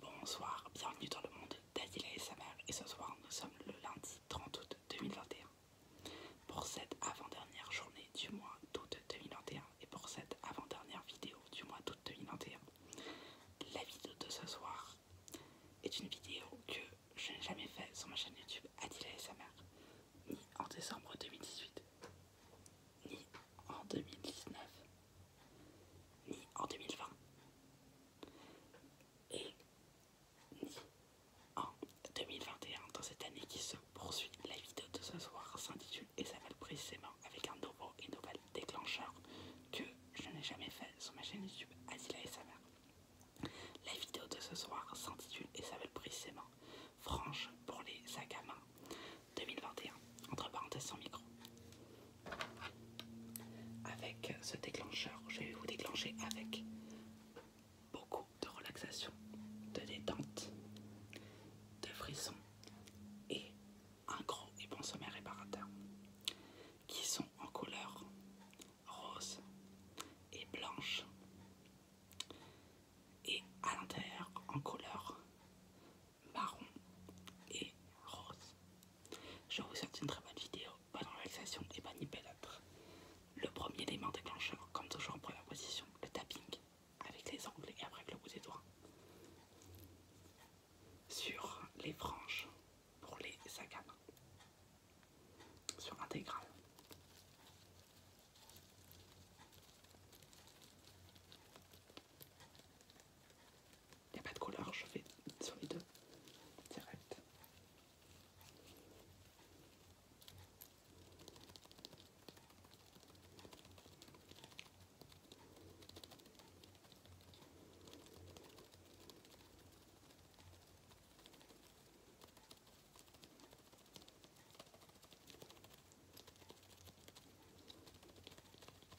Bonsoir, bienvenue dans le monde d'Adila et sa mère et ce soir nous sommes le lundi 30 août 2021 pour cette avant-dernière journée du mois d'août 2021 et pour cette avant-dernière vidéo du mois d'août 2021. La vidéo de ce soir est une vidéo que je n'ai jamais faite sur ma chaîne YouTube Adila et sa mère, ni en décembre 2018, ni en 2019, ni en 2020 et ni en 2021 dans cette année qui se poursuit. La vidéo de ce soir s'intitule et s'appelle précisément avec un nouveau et nouvel déclencheur que je n'ai jamais fait sur ma chaîne YouTube Azila et sa mère. La vidéo de ce soir s'intitule et s'appelle précisément Franche pour les agamas. 2021, entre parenthèses sans micro. Avec ce déclencheur, je vais vous déclencher avec beaucoup de relaxation, de détente, de frissons et un gros et bon sommeil réparateur qui sont en couleur rose et blanche et à l'intérieur en couleur marron et rose. Je vous souhaite une très bonne vidéo, bonne relaxation et bonne hypélâtre. Le premier élément déclencheur, comme toujours en première position, le tapping avec les ongles et après avec le bout des doigts sur les branches pour les saganes sur l'intégrale. Il n'y a pas de couleur, je vais sur les deux. Direct.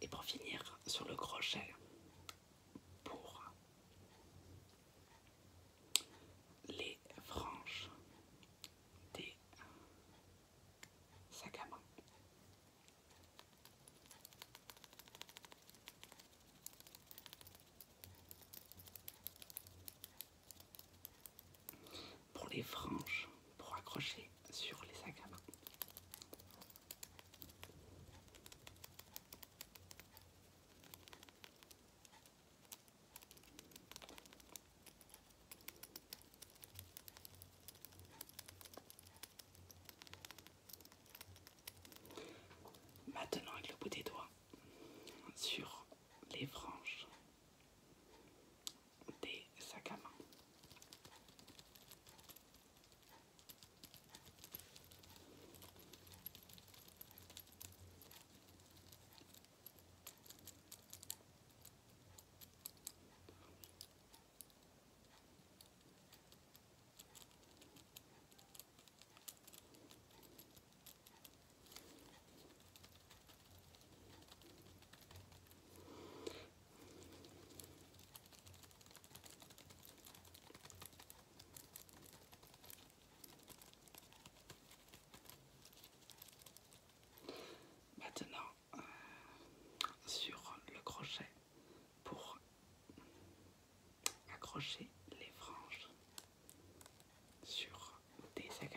Et pour finir sur le crochet, pour les franges des sacs à pour les franges pour accrocher sur les agamins. Maintenant avec le bout des doigts sur les branches des sacs à main. Maintenant euh, sur le crochet pour accrocher les franges sur des sacs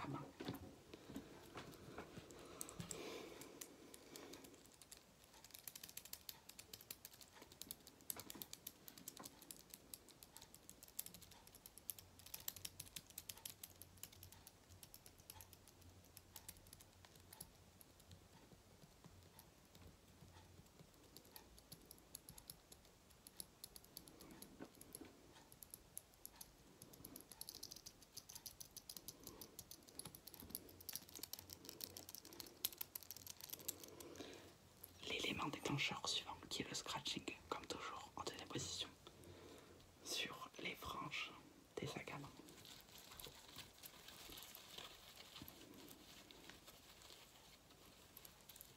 L'élément déclencheur suivant qui est le scratching, comme toujours en deuxième position, sur les franges des sacs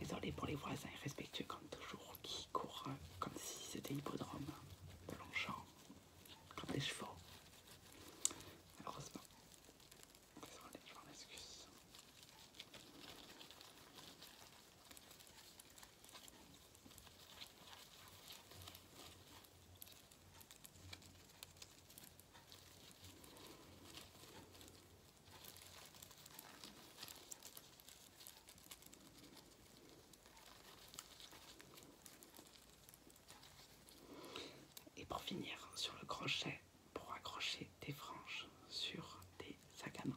Désolé pour les voisins irrespectueux comme toujours qui courent euh, comme si c'était l'hippodrome de Longchamp, comme des chevaux. Malheureusement, désolé, je m'en excuse. Et pour finir, sur le crochet, pour accrocher des franges sur des sacs à main.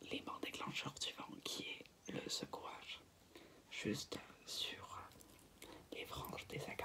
Les déclencheurs du vent qui est le secouage, juste sur les franges des sacs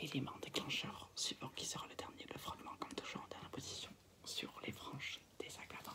L'élément déclencheur, support qui sera le dernier, le fragment comme toujours en dernière position sur les branches des accabantes.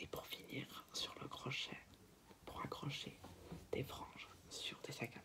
Et pour finir, sur le crochet, pour accrocher des franges sur des sacs à main.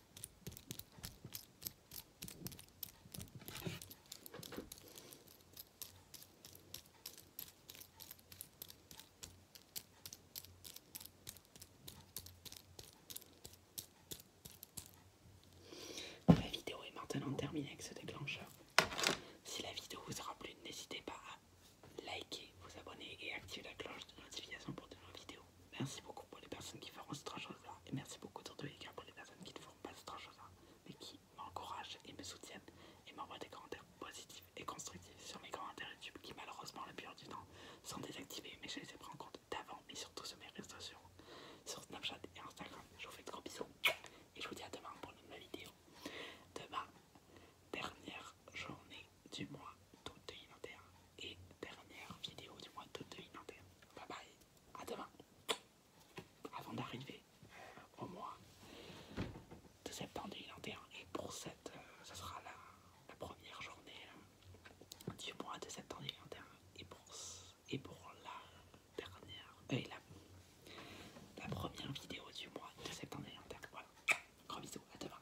La vidéo est maintenant terminée avec ce déclencheur. Si la vidéo vous aura plu, n'hésitez pas à liker, vous abonner et activer la cloche de notification pour de nouvelles vidéos. Merci beaucoup pour les personnes qui feront choses-là, et merci beaucoup les de pour les personnes qui ne feront pas choses-là, mais qui m'encouragent et me soutiennent et m'envoient des commentaires positifs et constructifs sur mes commentaires YouTube qui malheureusement la pire du temps sont désactivés mais je les ai pris en compte d'avant et surtout sur mes réseaux sociaux sur Snapchat et Instagram. Je vous fais de gros bisous et je vous dis à demain pour une nouvelle vidéo. Demain, dernière journée du mois d'août 2021 et dernière vidéo du mois d'août 2021 Bye bye, à demain. Avant d'arriver au mois de septembre 2021 et pour cette, euh, sera la, première journée euh, du mois de septembre 2021 et pour, la dernière, la, la première vidéo du mois de septembre 2021. Voilà, gros bisous, à demain.